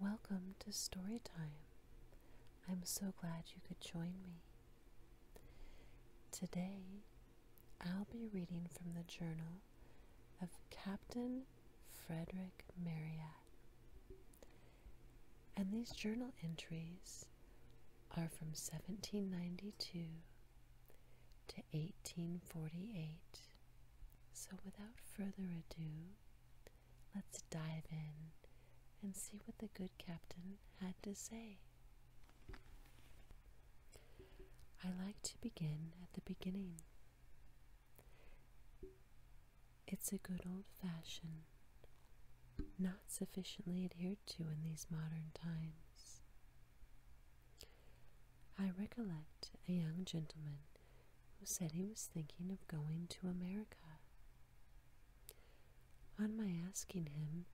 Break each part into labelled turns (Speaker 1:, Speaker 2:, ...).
Speaker 1: Welcome to Storytime. I'm so glad you could join me. Today, I'll be reading from the journal of Captain Frederick Marryat. And these journal entries are from 1792 to 1848. So, without further ado, Let's dive in and see what the good captain had to say. I like to begin at the beginning. It's a good old fashion, not sufficiently adhered to in these modern times. I recollect a young gentleman who said he was thinking of going to America. On my asking him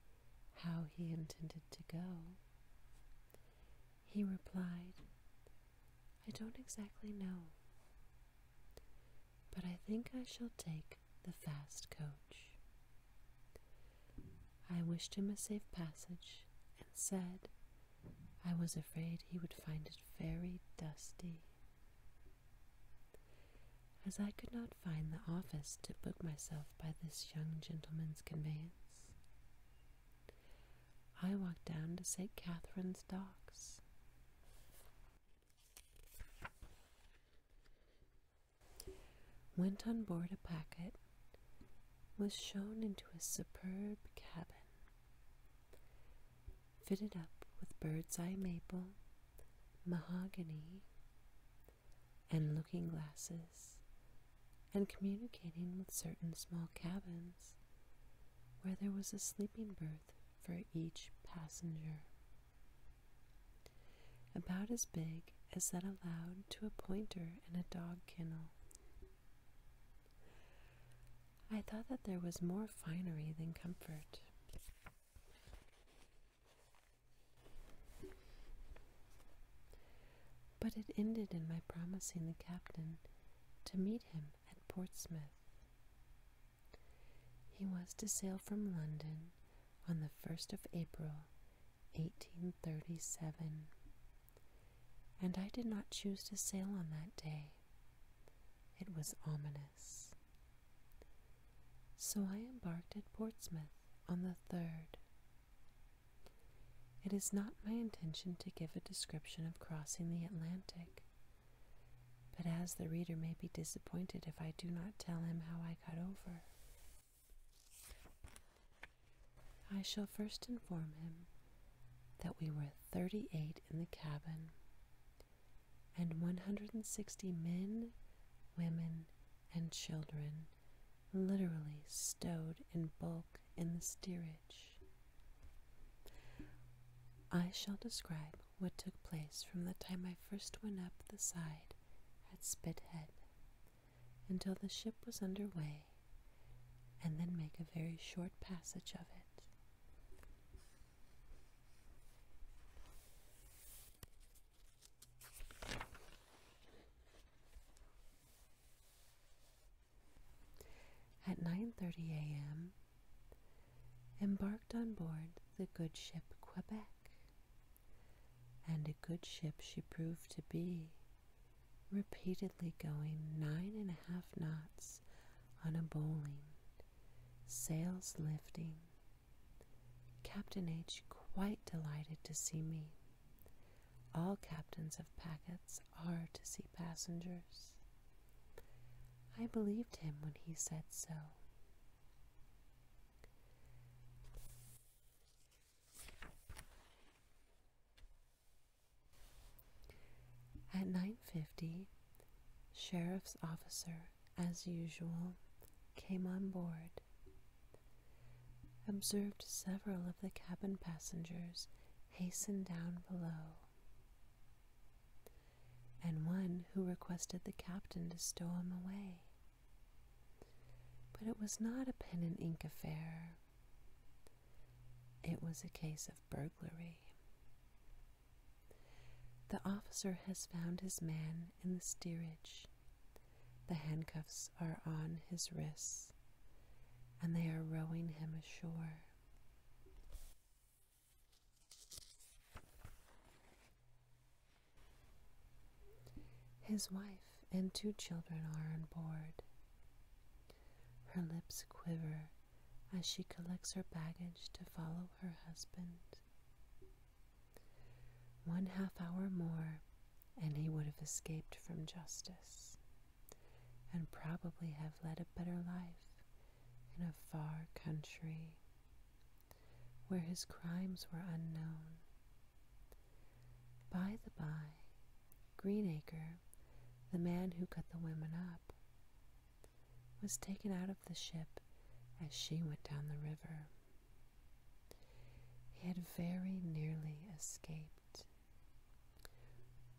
Speaker 1: how he intended to go, he replied, I don't exactly know, but I think I shall take the fast coach. I wished him a safe passage and said I was afraid he would find it very dusty. As I could not find the office to book myself by this young gentleman's conveyance, I walked down to St. Catherine's docks. Went on board a packet, was shown into a superb cabin, fitted up with bird's eye maple, mahogany, and looking glasses, and communicating with certain small cabins where there was a sleeping berth for each passenger, about as big as that allowed to a pointer in a dog kennel. I thought that there was more finery than comfort. But it ended in my promising the captain to meet him at Portsmouth. He was to sail from London on the 1st of April, 1837 and I did not choose to sail on that day. It was ominous. So I embarked at Portsmouth on the third. It is not my intention to give a description of crossing the Atlantic, but as the reader may be disappointed if I do not tell him how I got over, I shall first inform him that we were 38 in the cabin and 160 men, women, and children literally stowed in bulk in the steerage. I shall describe what took place from the time I first went up the side at Spithead until the ship was under way, and then make a very short passage of it. At 9:30 a.m., embarked on board the good ship Quebec. And a good ship she proved to be, repeatedly going nine and a half knots on a bowling, sails lifting. Captain H quite delighted to see me. All captains of packets are to see passengers. I believed him when he said so. At 9:50, sheriff's officer, as usual, came on board. Observed several of the cabin passengers hasten down below, and one who requested the captain to stow him away. But it was not a pen and ink affair. It was a case of burglary. The officer has found his man in the steerage. The handcuffs are on his wrists, and they are rowing him ashore. His wife and two children are on board. Her lips quiver as she collects her baggage to follow her husband. One half hour more, and he would have escaped from justice, and probably have led a better life in a far country where his crimes were unknown. By the by, Greenacre, the man who cut the women up, was taken out of the ship as she went down the river. He had very nearly escaped.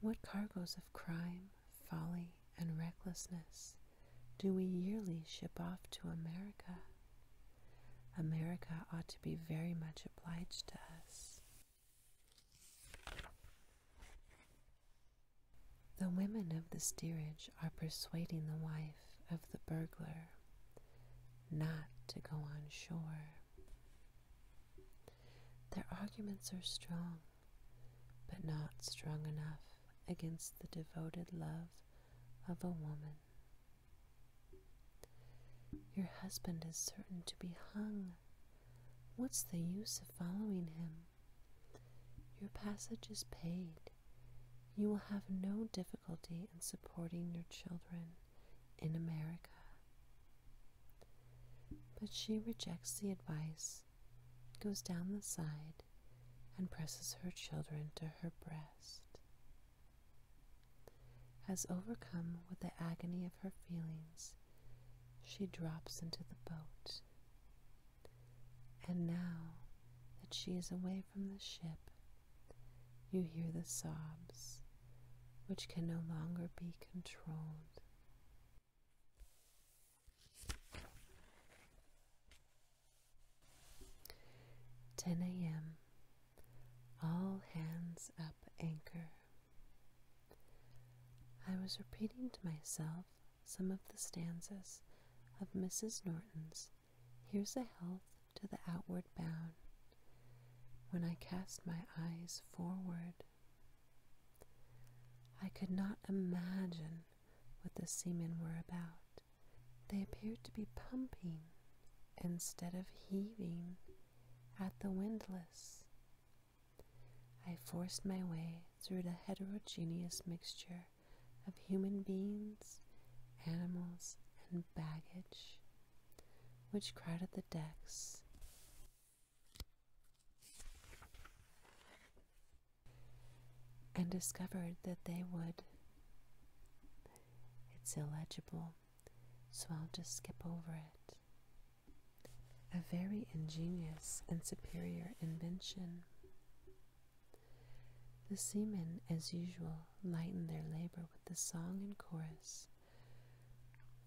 Speaker 1: What cargoes of crime, folly, and recklessness do we yearly ship off to America? America ought to be very much obliged to us. The women of the steerage are persuading the wife of the burglar not to go on shore. Their arguments are strong, but not strong enough against the devoted love of a woman. Your husband is certain to be hung What's the use of following him? Your passage is paid. You will have no difficulty in supporting your children in America. But she rejects the advice, goes down the side, and presses her children to her breast. As overcome with the agony of her feelings, she drops into the boat. And now that she is away from the ship, you hear the sobs, which can no longer be controlled. Ten AM. All hands up anchor. I was repeating to myself some of the stanzas of Mrs. Norton's Here's a Health to the Outward Bound when I cast my eyes forward. I could not imagine what the seamen were about. They appeared to be pumping instead of heaving at the windlass. I forced my way through the heterogeneous mixture of human beings, animals, and baggage which crowded the decks. And discovered that they would. It's illegible, so I'll just skip over it a very ingenious and superior invention. The seamen, as usual, lightened their labor with the song and chorus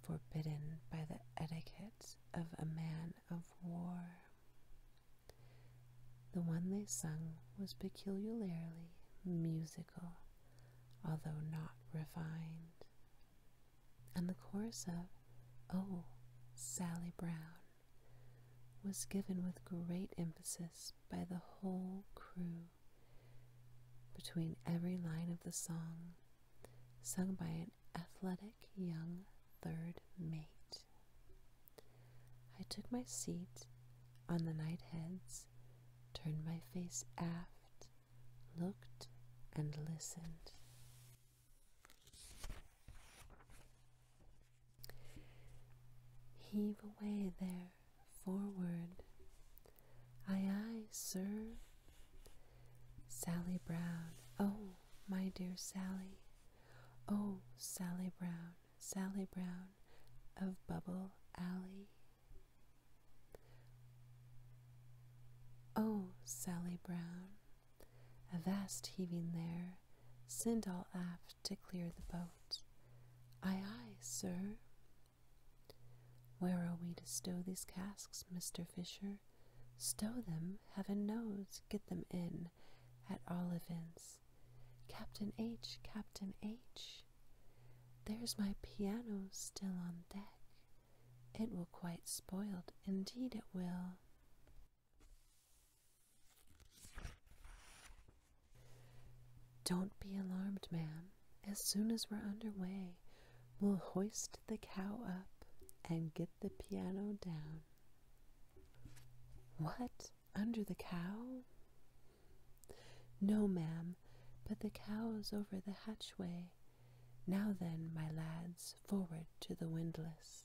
Speaker 1: forbidden by the etiquette of a man of war. The one they sung was peculiarly musical, although not refined and the chorus of Oh, Sally Brown was given with great emphasis by the whole crew between every line of the song, sung by an athletic young third mate. I took my seat on the night heads, turned my face aft, looked and listened. Heave away there, forward. Aye, aye, sir. Sally Brown, oh, my dear Sally. Oh, Sally Brown, Sally Brown of Bubble Alley. Oh, Sally Brown, a vast heaving there send all aft to clear the boat. Aye, aye, sir. Where are we to stow these casks, Mr. Fisher? Stow them, heaven knows, get them in, at all events. Captain H, Captain H, there's my piano still on deck. It will quite spoiled, indeed it will. Don't be alarmed, ma'am. As soon as we're under way, we'll hoist the cow up and get the piano down. What? Under the cow? No, ma'am, but the cow's over the hatchway, now then, my lads, forward to the windlass.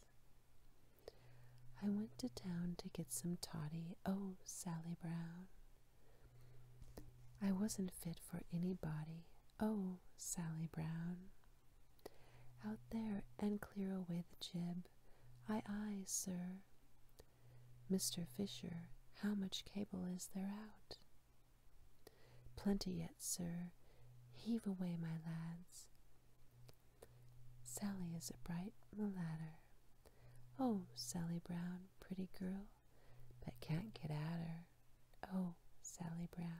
Speaker 1: I went to town to get some toddy, oh, Sally Brown. I wasn't fit for anybody, oh, Sally Brown. Out there and clear away the jib, aye, aye, sir. Mr. Fisher, how much cable is there out? Plenty yet, sir. Heave away, my lads. Sally is a bright mulatto. Oh, Sally Brown, pretty girl, but can't get at her. Oh, Sally Brown.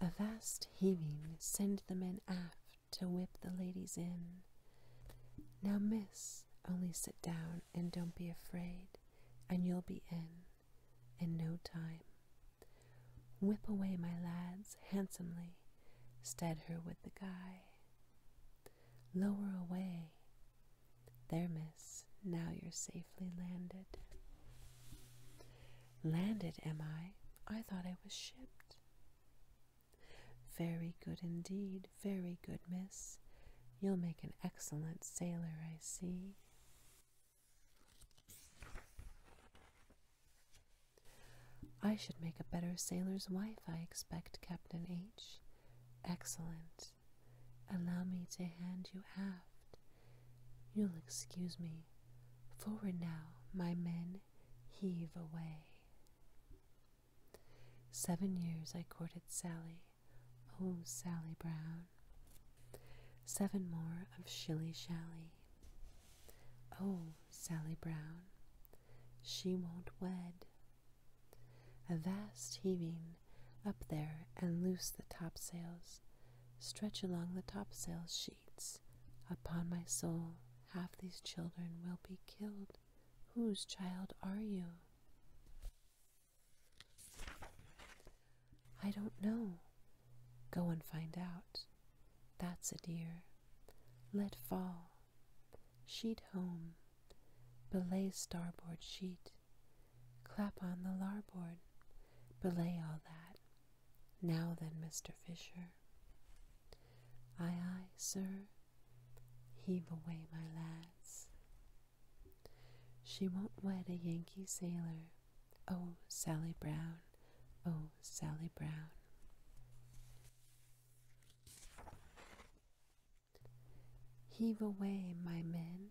Speaker 1: A vast heaving send the men aft to whip the ladies in. Now, miss, only sit down and don't be afraid, and you'll be in, in no time. Whip away, my lads, handsomely, stead her with the guy. Lower away, there, miss, now you're safely landed. Landed, am I? I thought I was shipped. Very good indeed, very good, miss. You'll make an excellent sailor, I see. I should make a better sailor's wife, I expect, Captain H. Excellent. Allow me to hand you aft. You'll excuse me. Forward now, my men, heave away. Seven years I courted Sally, oh Sally Brown. Seven more of shilly shally, oh Sally Brown. She won't wed. A vast heaving up there and loose the topsails, stretch along the topsail sheets. Upon my soul, half these children will be killed. Whose child are you? I don't know. Go and find out. That's a dear. Let fall. Sheet home. Belay starboard sheet. Clap on the larboard. Belay all that. Now then, Mr. Fisher. Ay ay, sir. Heave away, my lads. She won't wed a Yankee sailor. Oh, Sally Brown, oh, Sally Brown. Heave away, my men,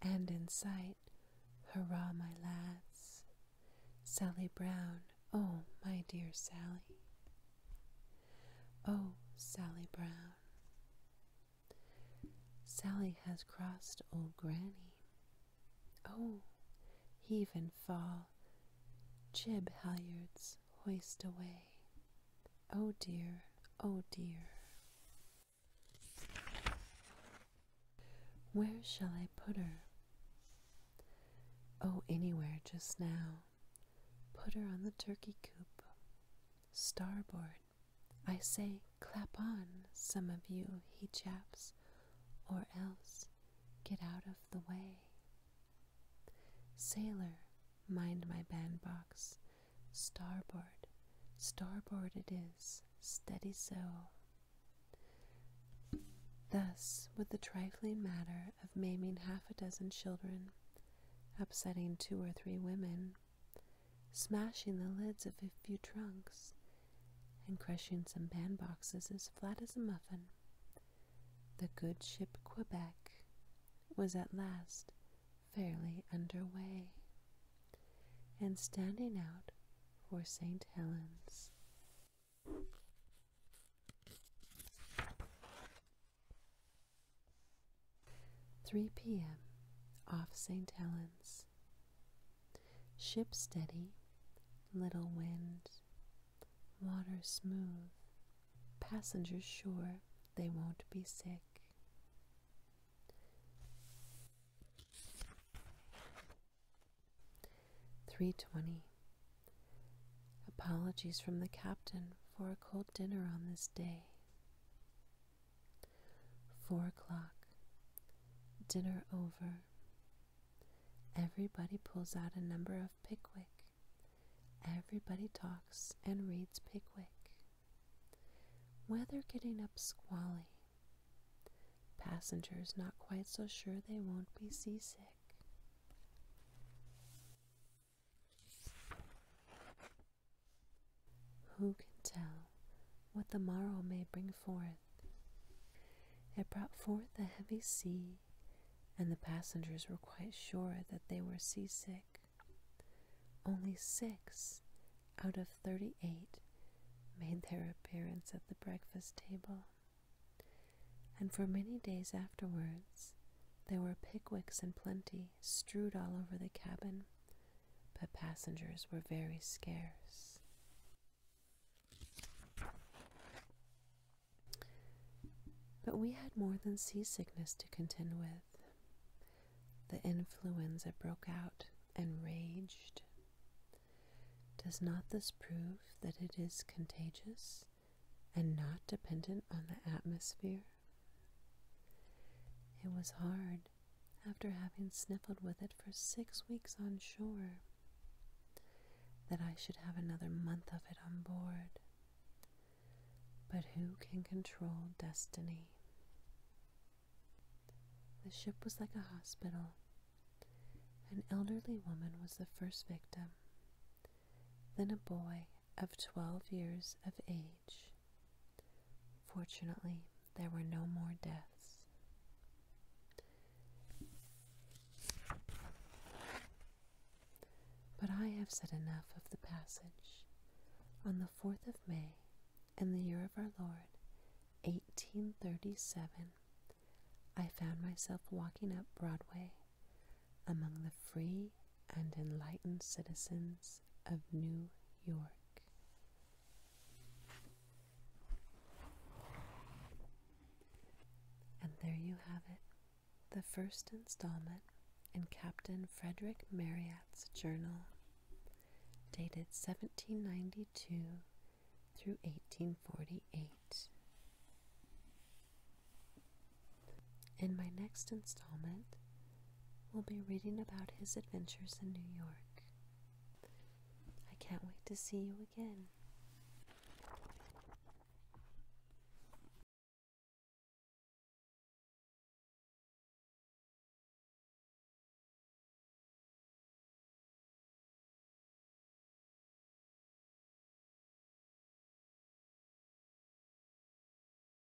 Speaker 1: and in sight, hurrah, my lads. Sally Brown, oh, my dear Sally. Oh, Sally Brown. Sally has crossed old Granny. Oh, heave and fall, jib halyards hoist away. Oh dear, oh dear. Where shall I put her? Oh, anywhere just now. Put her on the turkey coop. Starboard, I say, clap on, some of you, he chaps, or else get out of the way. Sailor, mind my bandbox, starboard, starboard it is, steady so. Thus, with the trifling matter of maiming half a dozen children, upsetting two or three women, smashing the lids of a few trunks, and crushing some bandboxes as flat as a muffin. The good ship Quebec was at last fairly under way, and standing out for St. Helens. 3 p.m. off St. Helens. Ship steady, little wind, water smooth, passengers sure they won't be sick. Three twenty. Apologies from the captain for a cold dinner on this day. Four o'clock. Dinner over. Everybody pulls out a number of Pickwick. Everybody talks and reads Pickwick. Weather getting up squally. Passengers not quite so sure they won't be seasick. Who can tell what the morrow may bring forth? It brought forth a heavy sea, and the passengers were quite sure that they were seasick. Only six out of thirty eight made their appearance at the breakfast table. And for many days afterwards, there were Pickwicks in plenty, strewed all over the cabin but passengers were very scarce. But we had more than seasickness to contend with. The influenza broke out and raged. Does not this prove that it is contagious and not dependent on the atmosphere? It was hard after having sniffled with it for six weeks on shore that I should have another month of it on board. But who can control destiny? The ship was like a hospital. An elderly woman was the first victim, then a boy, of twelve years of age. Fortunately, there were no more deaths. But I have said enough of the passage. On the 4th of May, in the year of our Lord, 1837, I found myself walking up Broadway among the free and enlightened citizens of New York. And there you have it, the first installment in Captain Frederick Marryatt's journal, dated 1792 through 1848. In my next installment, we'll be reading about his adventures in New York. I can't wait to see you again.